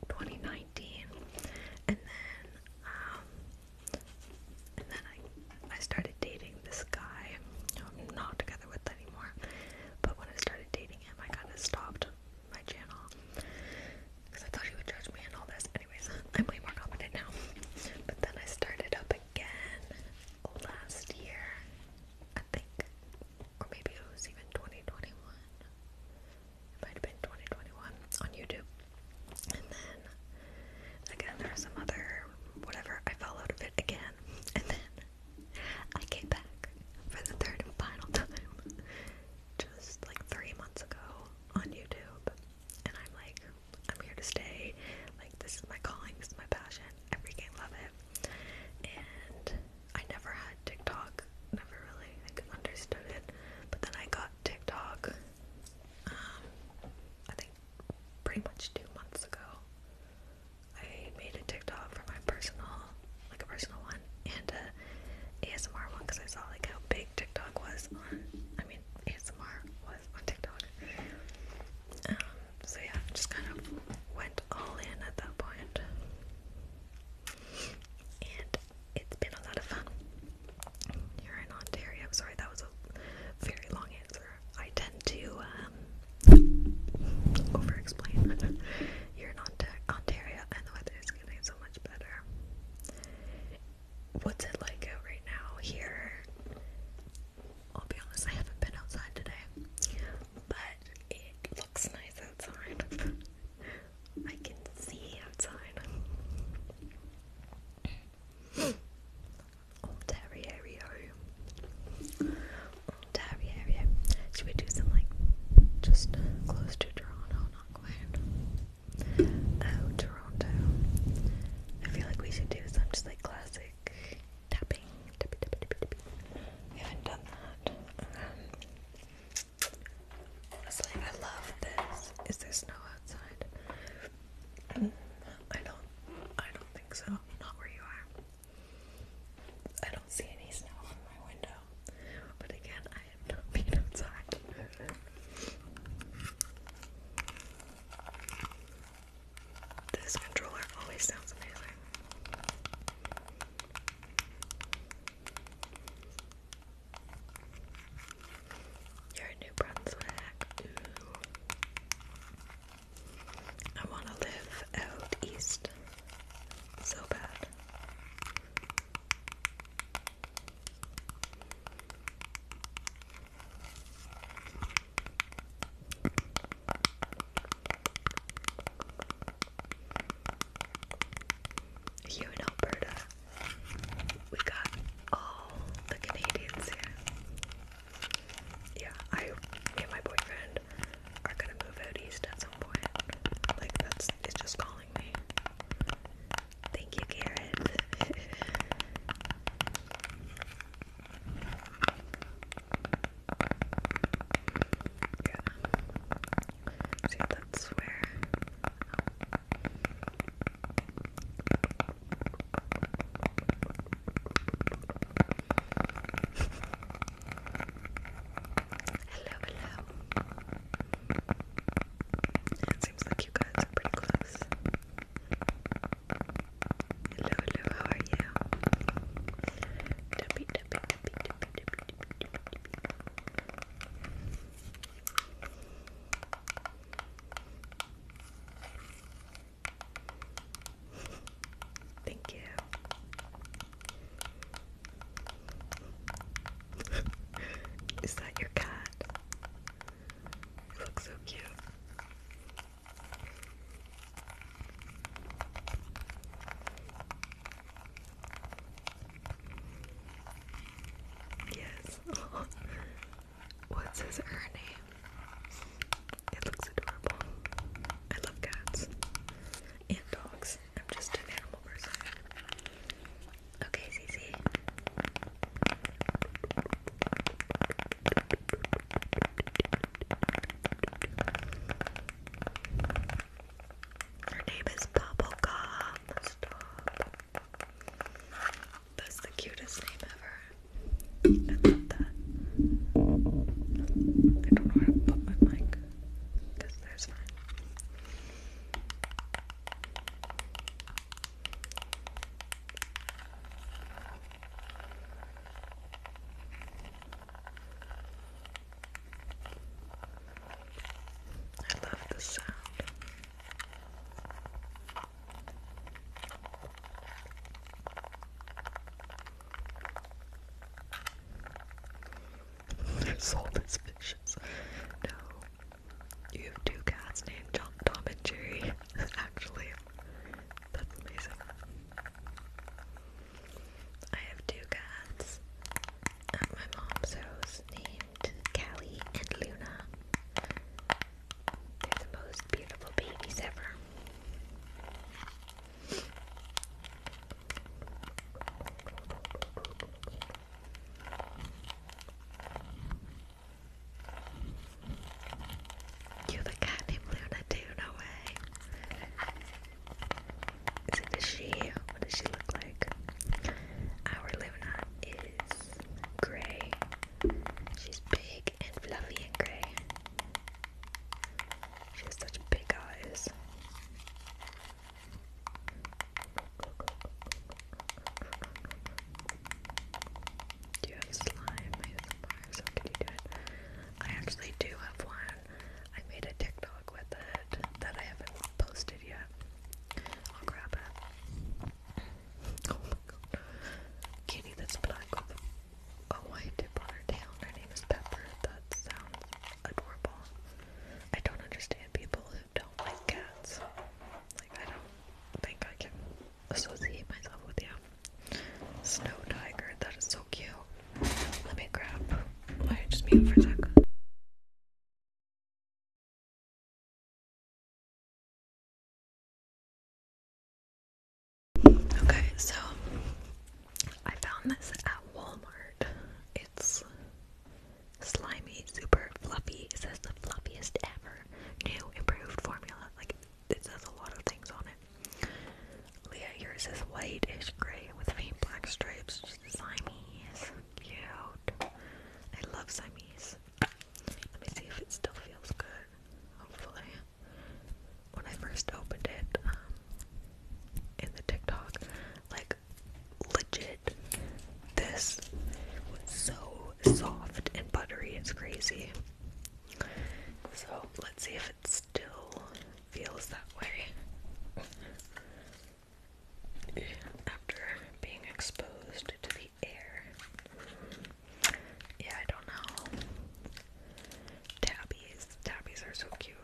2019. And then, um, and then I, I started dating this guy. I'm not with anymore. But when I started dating him, I kind of stopped my channel because I thought he would judge me and all this. Anyways, I'm way more confident now. But then I started up again last year, I think, or maybe it was even 2021. It might have been 2021 on YouTube. And then again, there was some other whatever. I fell out of it again, and then I came back for the third and final (laughs) time just like three months ago on YouTube, and I'm like, I'm here to stay. Like, this is my calling, this is my passion. I freaking love it. And I never had TikTok, never really like understood it. But then I got TikTok, um, I think pretty much two months ago. I made a TikTok for my personal, like a personal one, and a ASMR one because I saw like how big TikTok was on. I mean, ASMR was on TikTok. Um, so yeah, just kind of went all in at that point, and it's been a lot of fun. You're in Ontario. I'm sorry that was a very long answer. I tend to um, over explain. (laughs) You're in Ontario and the weather is getting so much better. What's it like right now here? I'll be honest, I haven't been outside today, but it looks nice outside. (laughs) I can see outside. (gasps) Ontario. Derby area. Should we do some like just close to Toronto, not quite? Oh, Toronto. I feel like we should do some just like classic tapping. We haven't done that. Um, honestly, I love this. Is there snow outside? Mm, I don't. I don't think so. Not where you are. I don't see any snow on my window, but again, I have not been (laughs) outside. this controller always sounds amazing. You're in New Brunswick. I want to live out east so bad. You in Alberta, we got all the Canadians Yeah, I and my boyfriend and are gonna move out east at some point. Like that's it's just calling me. Thank you, Garrett. (laughs) yeah. that's where. Um, (laughs) Hello, hello. It seems like you guys are pretty close. Hello, hello, how are you? Thank you. (laughs) Is that your cat? You look so cute. Yes. (laughs) What's his her name? It looks adorable. I love cats and dogs. I'm just an animal person. Okay, Cece. Her name is Bubblegum. That's the cutest name ever. I love that. I don't know where to put my mic because there's I love the sound. Salt is vicious. No. You have two cats named John, Tom and Jerry. (laughs) Actually, that's amazing. I have two cats at my mom's house named Callie and Luna. They're the most beautiful babies ever. You the cat named Luna too, no way. Is it a she? What does she look like? Our Luna is grey. She's big and fluffy and grey. She has such big eyes. Do you have slime? I actually do have one. I made a TikTok with it that I haven't posted yet. I'll grab it. Oh my god. Kitty that's black with a white tip on tail. Her name is Pepper. That sounds adorable. I don't understand people who don't like cats. Like, I don't think I can associate myself with you. Snow Tiger. That is so cute. Let me grab. I just mute for a sec. Okay, so I found this at Walmart. It's slimy, super fluffy. It says the fluffiest ever. New improved formula. Like it says a lot of things on it. Leah, yours is whitish gray with faint black stripes. Just Siamese. Cute. I love Siamese. Let me see if it still feels good. Hopefully when I first opened it um, in the TikTok, like legit, this was so soft and buttery. It's crazy. So let's see if it still feels that way after being exposed to the air. Yeah, I don't know. Tabbies. Tabbies are so cute.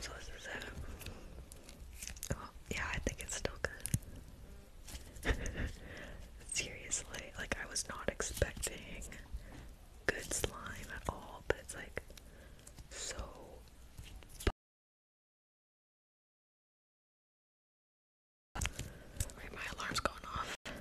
So this is it. yeah, I think it's still good. (laughs) Seriously, like I was not expecting good slime at all, but it's like so. my alarm's going off. Thank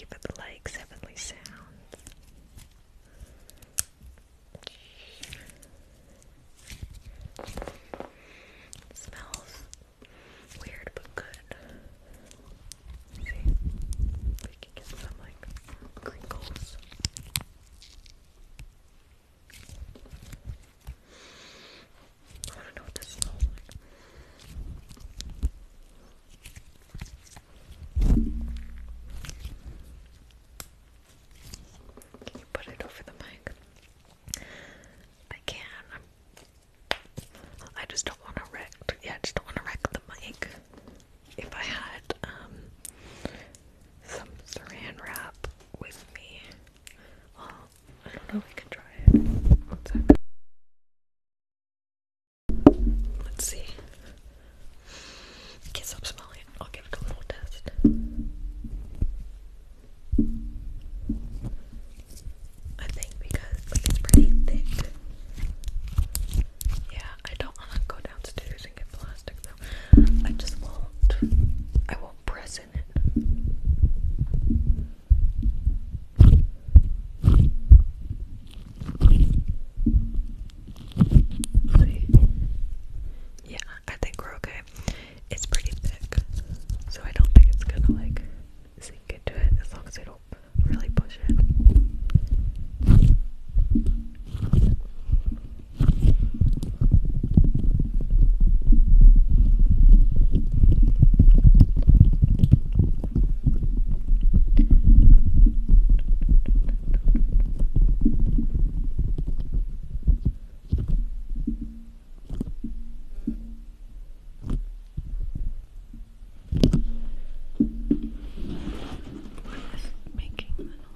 you for the likes, Heavenly Sounds. smells weird but good. we can get some like crinkles. I want to know what this smells like. Can you put it over the mic? I can. I just don't want to wreck. Yeah, I just don't want to wreck the mic if I had um some saran wrap with me. Well, I don't know, we can try it. Let's see. Can't stop smelling I'll give a little test. I think because like, it's pretty thick. Yeah, I don't want to go plastic though. I just won't. I won't press in it. Yeah, I think we're okay. It's pretty thick, so I don't think it's gonna like sink into it as long as I don't really push it. What is making the noise?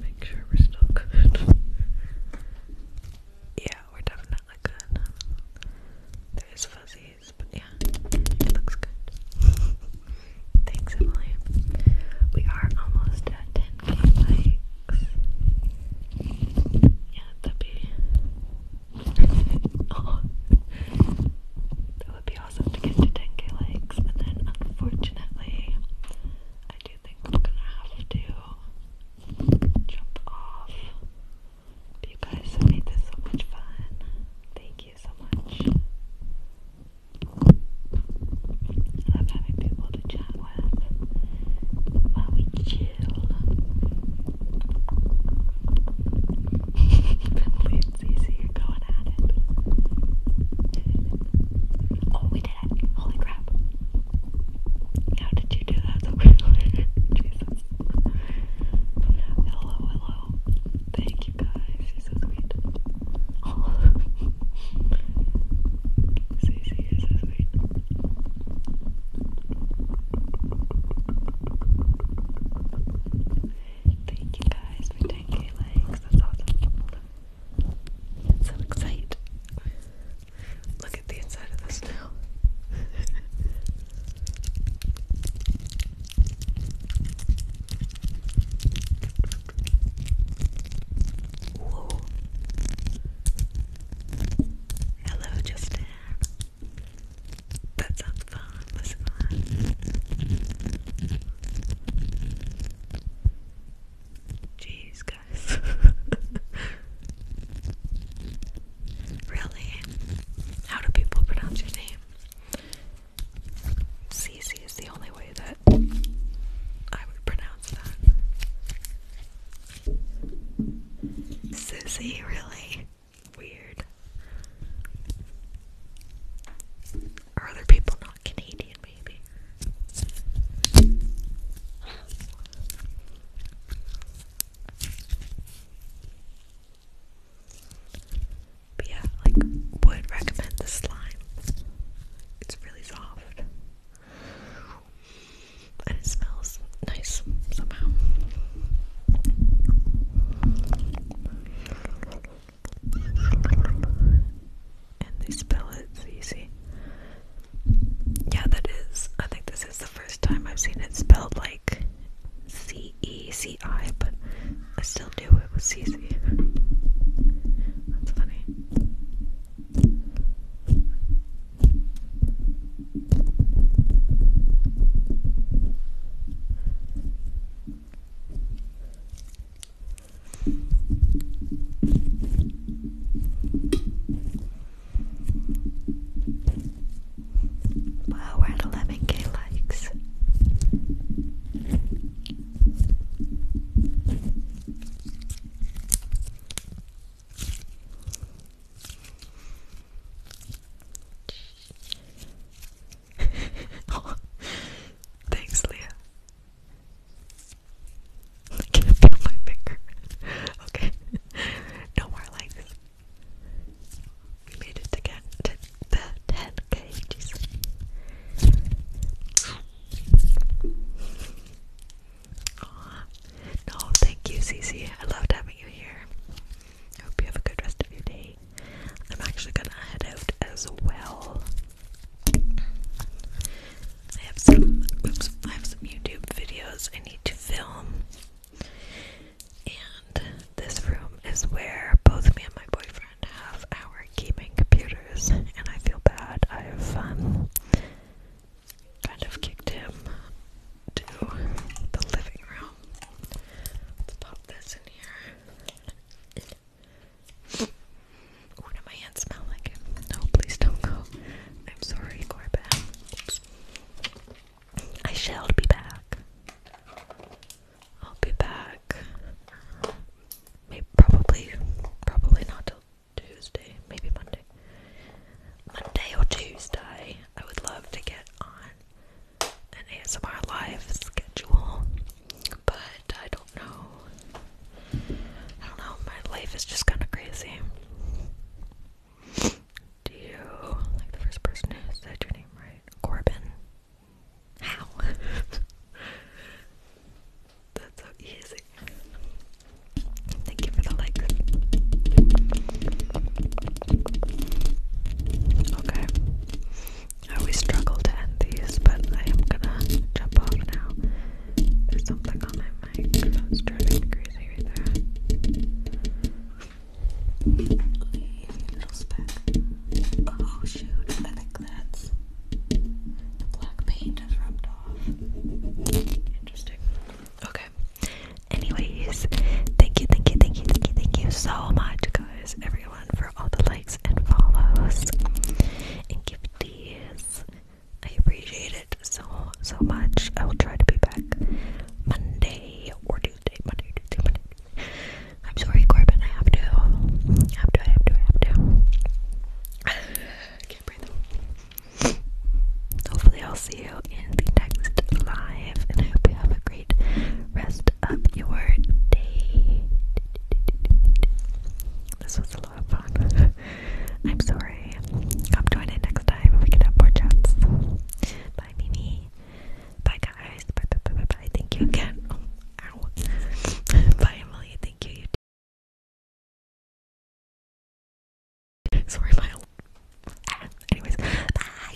Make sure we're still good. yeah, we're definitely good. There's fuzzies, but yeah, it looks good. Thanks, Emily. We are almost at 10k likes. Yeah, that'd be. (laughs) oh, that would be awesome to get to 10k likes, and then unfortunately, I do think I'm gonna have to jump off. you guys have made this so much fun. Thank you so much. I love having people to chat with while we chill. (laughs) CC are going at it. Oh, we did it. Holy crap. How did you do that (laughs) oh, Hello, hello. Thank you guys. you so sweet. Oh. (laughs) CC, so sweet. Thank you guys for 10k likes. That's awesome. It's so excited. Look at the inside of this now. Whoa. Hello, Justin. That sounds have Jeez, guys. really? How do people pronounce your name? CC is the only way that I would pronounce that. Susie, really? weird. Are other people not Canadian, maybe? But yeah, like, would recommend the slime. It's really soft. And it smells nice somehow. And they spell it so Yeah, that is. I think this is the first time I've seen it spelled like C E C I, but I still knew it was C That's funny. Wow, we're at 11k likes. (laughs) thanks, Leah. (laughs) I can't feel my finger. (laughs) okay, no more like We made it again the 10k. Jesus. No, thank you, Cece. I loved having you here. hope you have a good rest of your day. I'm actually gonna head out as well. I have some oops, I have some YouTube videos I need to film. And this room is where both me and my boyfriend have our gaming computers and I feel bad. I've fun. Um, kind of kicked him to the living room. Let's pop this in here. Ooh, do my hands smell like it? No, please don't go. I'm sorry, Corbett. Oops. I shall be back. I'll be back. Maybe probably probably not till Tuesday, maybe Monday. Monday or Tuesday. I would love to get on an ASMR live schedule, but I don't know. I don't know, my life is just kind of crazy. Do you like the first person who said your name right? Corbin. How? (laughs) That's so easy. Thank you for the like. Okay. I always struggle to end these, but I am gonna jump off now. There's something on my mic that's driving me crazy right there. Oh shoot, I think that's the black paint has rubbed off. Interesting. Okay. Anyways, thank you, thank you, thank you, thank you, thank you so much, guys, everyone, for all the likes and follows and gifties. I appreciate it so, so much. I will try to be back Monday or Tuesday. Monday, Tuesday, Monday. I'm sorry, Corbin. I have to. have to, have to, have to. (sighs) can't breathe. Hopefully, I'll see you in the next live, and I hope you have a great rest of your day. This was a lot of fun. (laughs) I'm sorry. Come join in next time. We can have more chats. Bye, Mimi. Bye, guys. Bye, bye, bye, bye, bye. Thank you again. Oh, ow. (laughs) bye, Emily. Thank you. sorry, my. Anyways, bye.